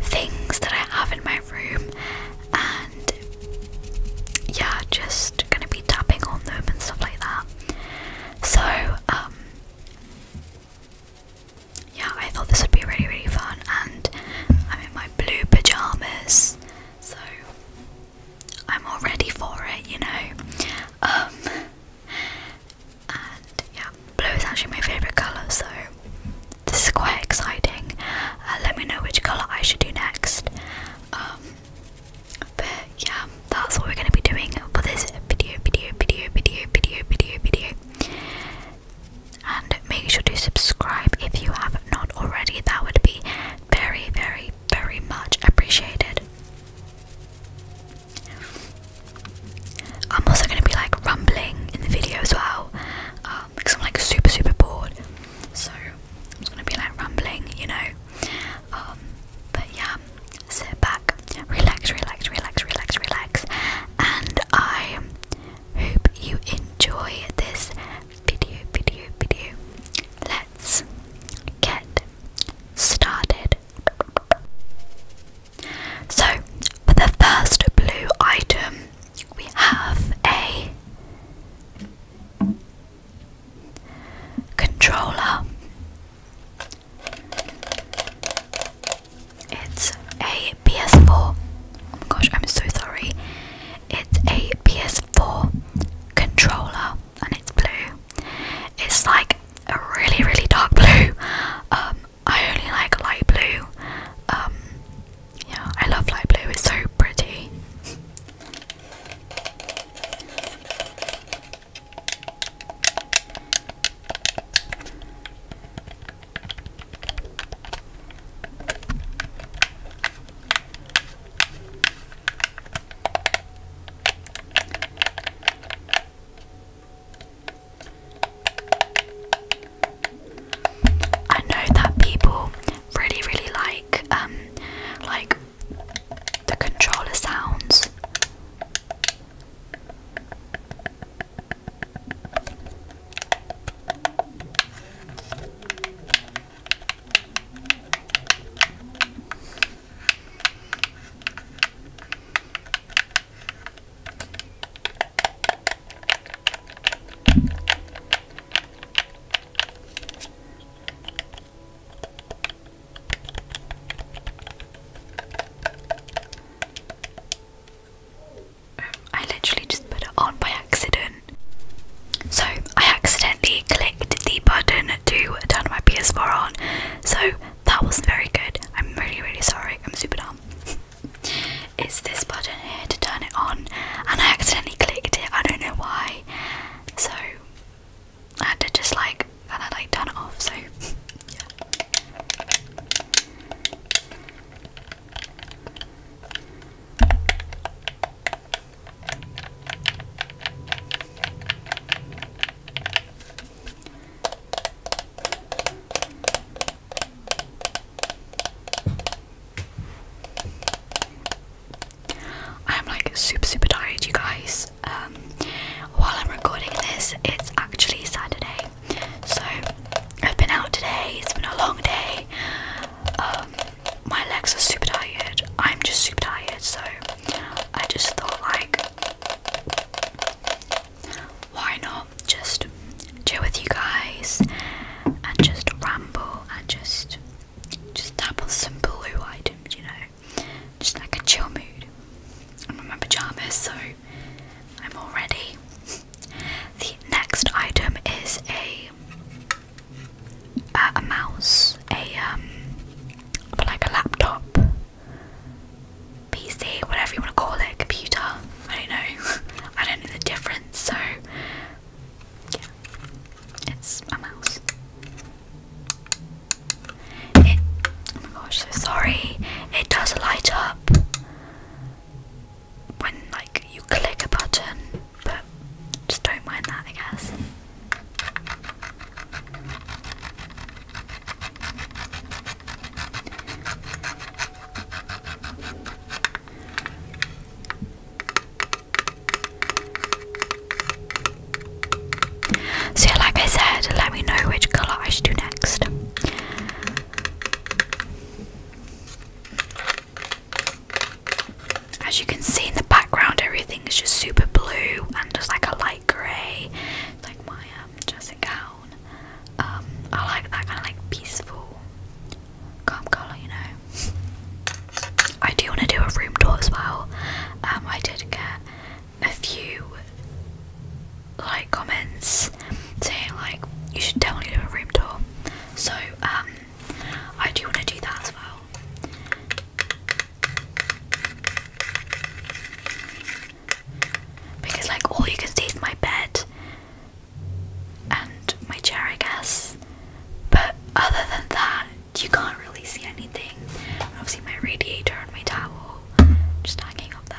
things that I have in my room and yeah, just gonna be tapping on them and stuff like that. So, um, yeah, I thought this would be really, really fun, and I'm in my blue pajamas, so I'm all ready for it, you know. Um, yeah, blue is actually my favourite colour, so this is quite exciting. Uh, let me know which colour I should do next. Um, but yeah, that's what we're going to be doing for this video, video, video, video, video, video, video. And make sure to subscribe if you have not already. That would be very, very, very much appreciated. I'm also going to be like rumbling in the video as well because um, I'm like super super bored. So I'm just going to be like rumbling, you know. Um, but yeah, sit back, relax, relax, relax, relax, relax, and I hope you enjoy this video, video, video. Let's get started. So, for the first blue item, we have a controller. It's a PS4. Oh my gosh, I'm so sorry. It's a PS4 controller and it's blue. It's like a really, really dark blue. Um, I only like light blue. Um, yeah, I love light blue, it's so pretty. I know that people really, really like um like the controller sounds. I literally just put it on by accident. So, I accidentally clicked the button to turn my PS4 on. So, that wasn't very good. I'm really, really sorry. I'm super dumb. It's this button here to turn it on, and I accidentally clicked it. I don't know why, so I had to just like kind of like turn it off. So yeah. I'm like super super tired you guys. Um, while I'm recording this it's actually Saturday. So I've been out today, it's been a long day. Um, my legs are super tired. I'm just super tired so I just thought like why not just chill with you guys and just ramble and just just tap on some blue items, you know, just like a chill mood. I'm in my pajamas, so I'm all ready. The next item is a a mouse, a um, like a laptop, PC, whatever you want to call it, computer. I don't know. I don't know the difference, so yeah. It's a mouse. It oh my gosh, so sorry. It does light up when like you click a button, but just don't mind that I guess. So, like I said, let me know which colour I should do next. As you can see in the background, everything is just super blue and just like a light grey. It's like my um, dressing gown. Um, I like that kind of like peaceful, calm colour, you know. I do want to do a room tour as well. Um, I did get a few like comments saying like you should definitely do a room tour. So um, I do want to do that as well. Because like all you can see is my bed, and my chair, I guess. But other than that, you can't really see anything. obviously, my radiator and my towel just hanging up there.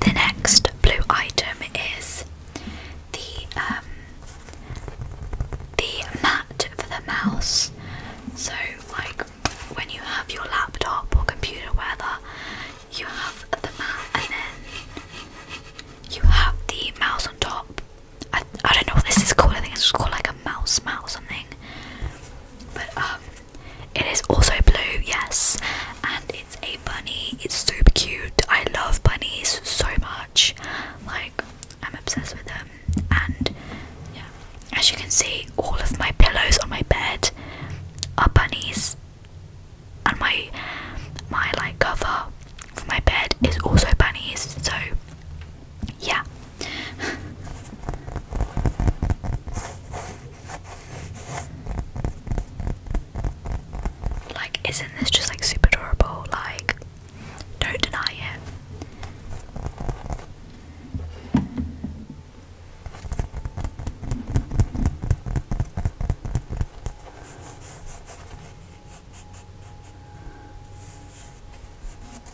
The next blue item is the um, the mat for the mouse. So, like when you have your laptop or computer, whether you have the mat and then you have the mouse on top, I, I don't know what this is called. I think it's just called like a mouse mat or something. But um, it is also blue, yes, and it's a bunny. It's super cute. I love bunnies so much. Like I'm obsessed with them. And yeah, as you can see, all of my pillows on my bed are bunnies, and my my like cover for my bed is also bunnies. So yeah, like, isn't this just like super adorable? Like, don't deny it.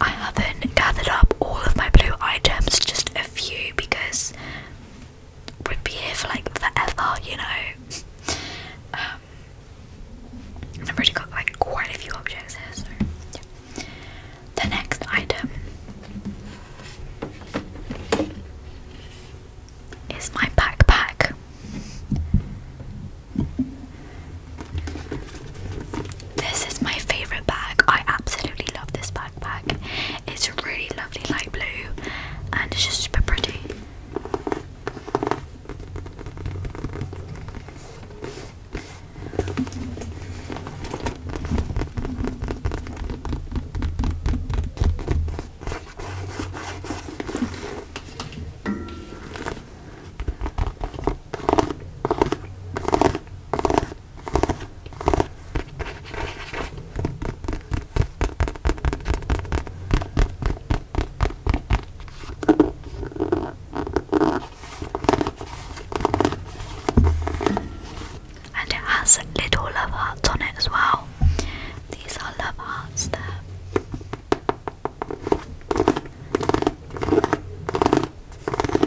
I haven't gathered up all of my blue items, just a few because we'd be here for like forever, you know. Um, I've already got like quite a few objects here, so The next item is my backpack. This is my favorite bag. I absolutely love this backpack. It's really lovely light blue and it's just super pretty. And it has little love hearts on it as well. These are love hearts there.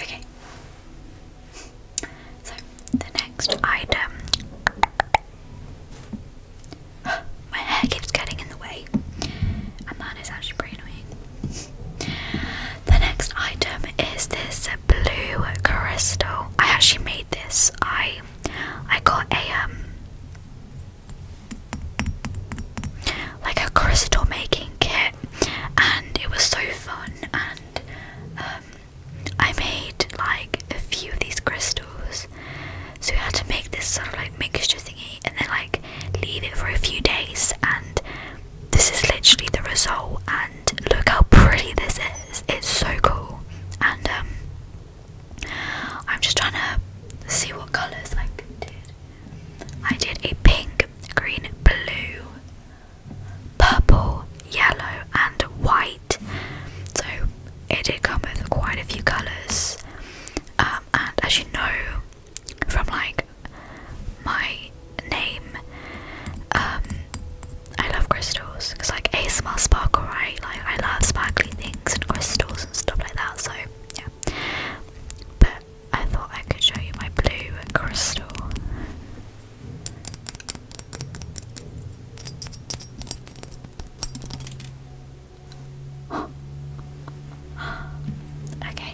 Okay. So the next item. My hair keeps getting in the way, and that is actually pretty annoying. The next item is this blue crystal. I actually made this. I I got a um like a crystal making kit and it was so fun and um I made like a few of these crystals. So you had to make this sort of like mixture thingy and then like leave it for a few days and this is literally the result and look how pretty this is it's so cool and um, i'm just trying to see what colors i did i did a pink green blue purple yellow and white so it did come with quite a few colors um, and as you know from like my name. Um, I love crystals because like a ASMR sparkle, right? Like I love sparkly things and crystals and stuff like that. So yeah, but I thought I could show you my blue crystal. okay,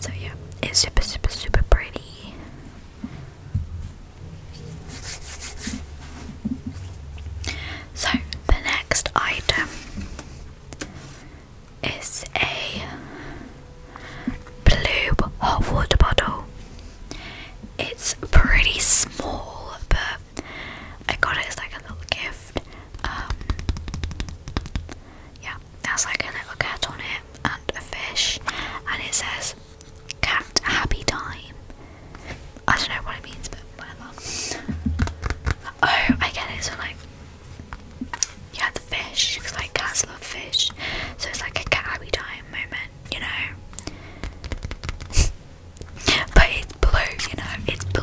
So yeah, it's super super super pretty. So the next item is a blue hot water bottle. It's pretty small, but I got it as like a little gift. Um, yeah, it like a little cat on it and a fish, and it says "Cat Happy Time." I don't know what it means, but whatever. Oh, I get it. So like, yeah, the fish. Cause like cats love fish, so it's like a cat happy time moment you know. but it's blue, you know, it's blue.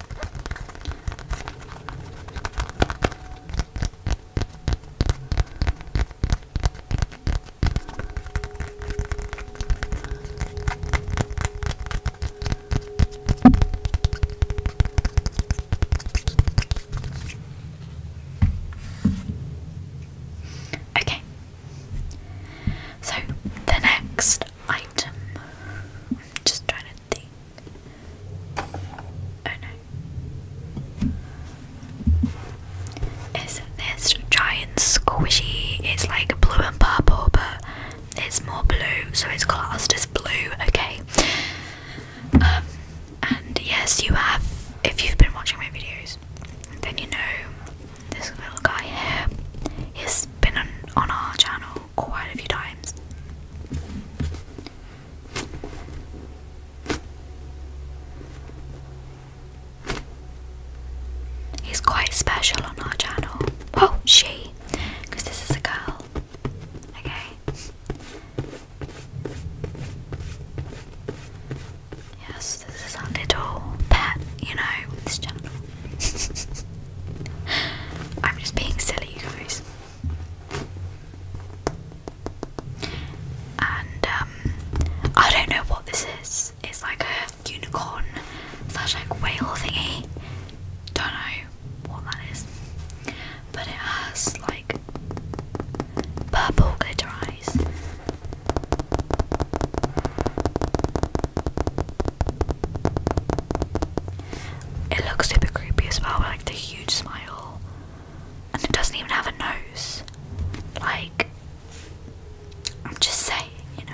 Okay, so the next item, I'm just trying to think. Oh no. Is this giant squishy? It's like blue and purple, but it's more blue, so it's classed as blue, okay? Um, and yes, you have, if you've been watching my videos, then you know this little guy here. has been on our channel quite a few times. He's quite special on our channel. Oh, she, because this is a girl. Okay. Yes, this is our little pet, you know, this channel. I'm just being silly, you guys. And um, I don't know what this is. It's like a unicorn slash like whale thingy. Don't know what that is. But it has like purple glitter eyes. It looks super creepy as well, like the huge smile. And it doesn't even have a nose. Like, I'm just saying, you know.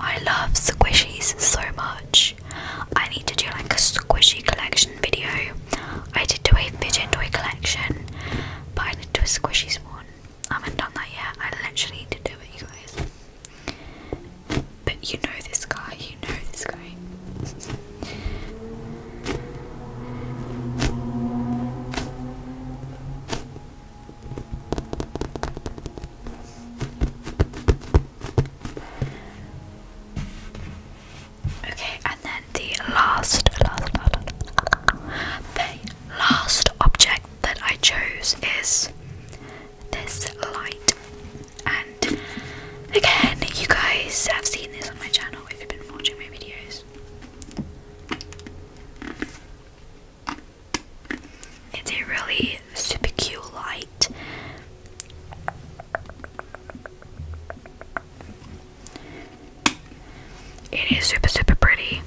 I love squishies so much. I need to do like a squishy collection video. I did do a fidget toy collection, but I did to do a squishy one. I haven't done that yet. I literally need to do it, you guys. But you know this guy, you know this guy. Okay, and then the last, last, last, the last object that I chose is this light. And again, you guys have seen this on my channel if you've been watching my videos. It's a really super cute light. It is super super pretty.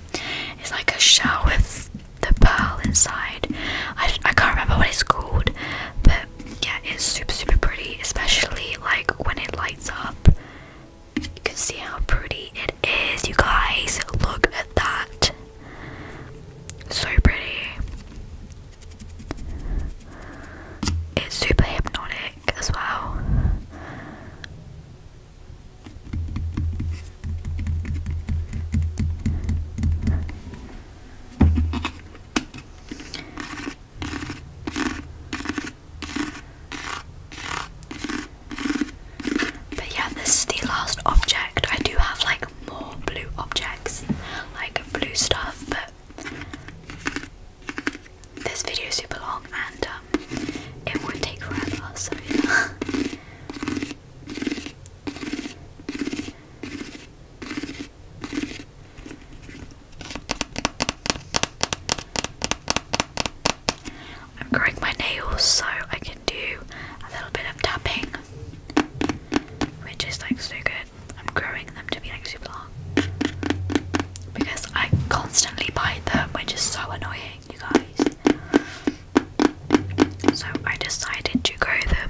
It's like a shell with the pearl inside. I, I can't remember what it's called, but yeah, it's super super pretty, especially like when it lights up. You can see how pretty it is, you guys. Look at that. So pretty. It's super hypnotic as well. But yeah, this is the last object. I do have like more blue objects, like blue stuff, but this video is super long and um, it would take forever, so yeah. I'm growing my nails so I can do a little bit of tapping, which is like so good. I'm growing them to be like super long because I constantly bite them, which is so annoying, you guys. So I decided to grow them.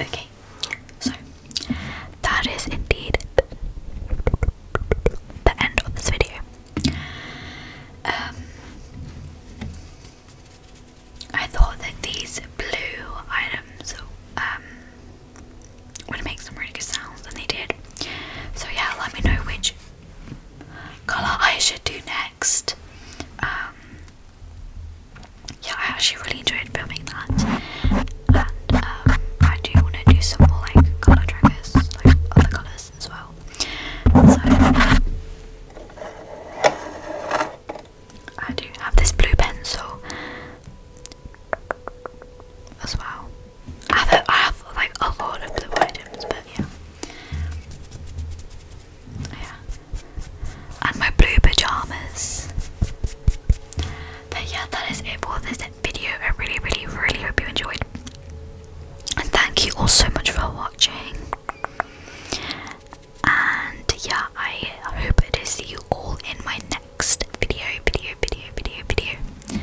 Okay, so that is indeed the end of this video. Um, I thought that these blue items um, would make some really good sounds, and they did. So, yeah, let me know which colour I should do next. Um, yeah, I actually really enjoyed filming that, and um, I do want to do some more like colour triggers, like other colours as well. So I do have this blue pencil as well. I have like a lot of blue items, but yeah. Yeah. And my blue pajamas. But yeah, that is it for this video. I really, really, really hope you enjoyed. And thank you all so much for watching. And yeah, I hope to see you all in my next video, video, video, video, video.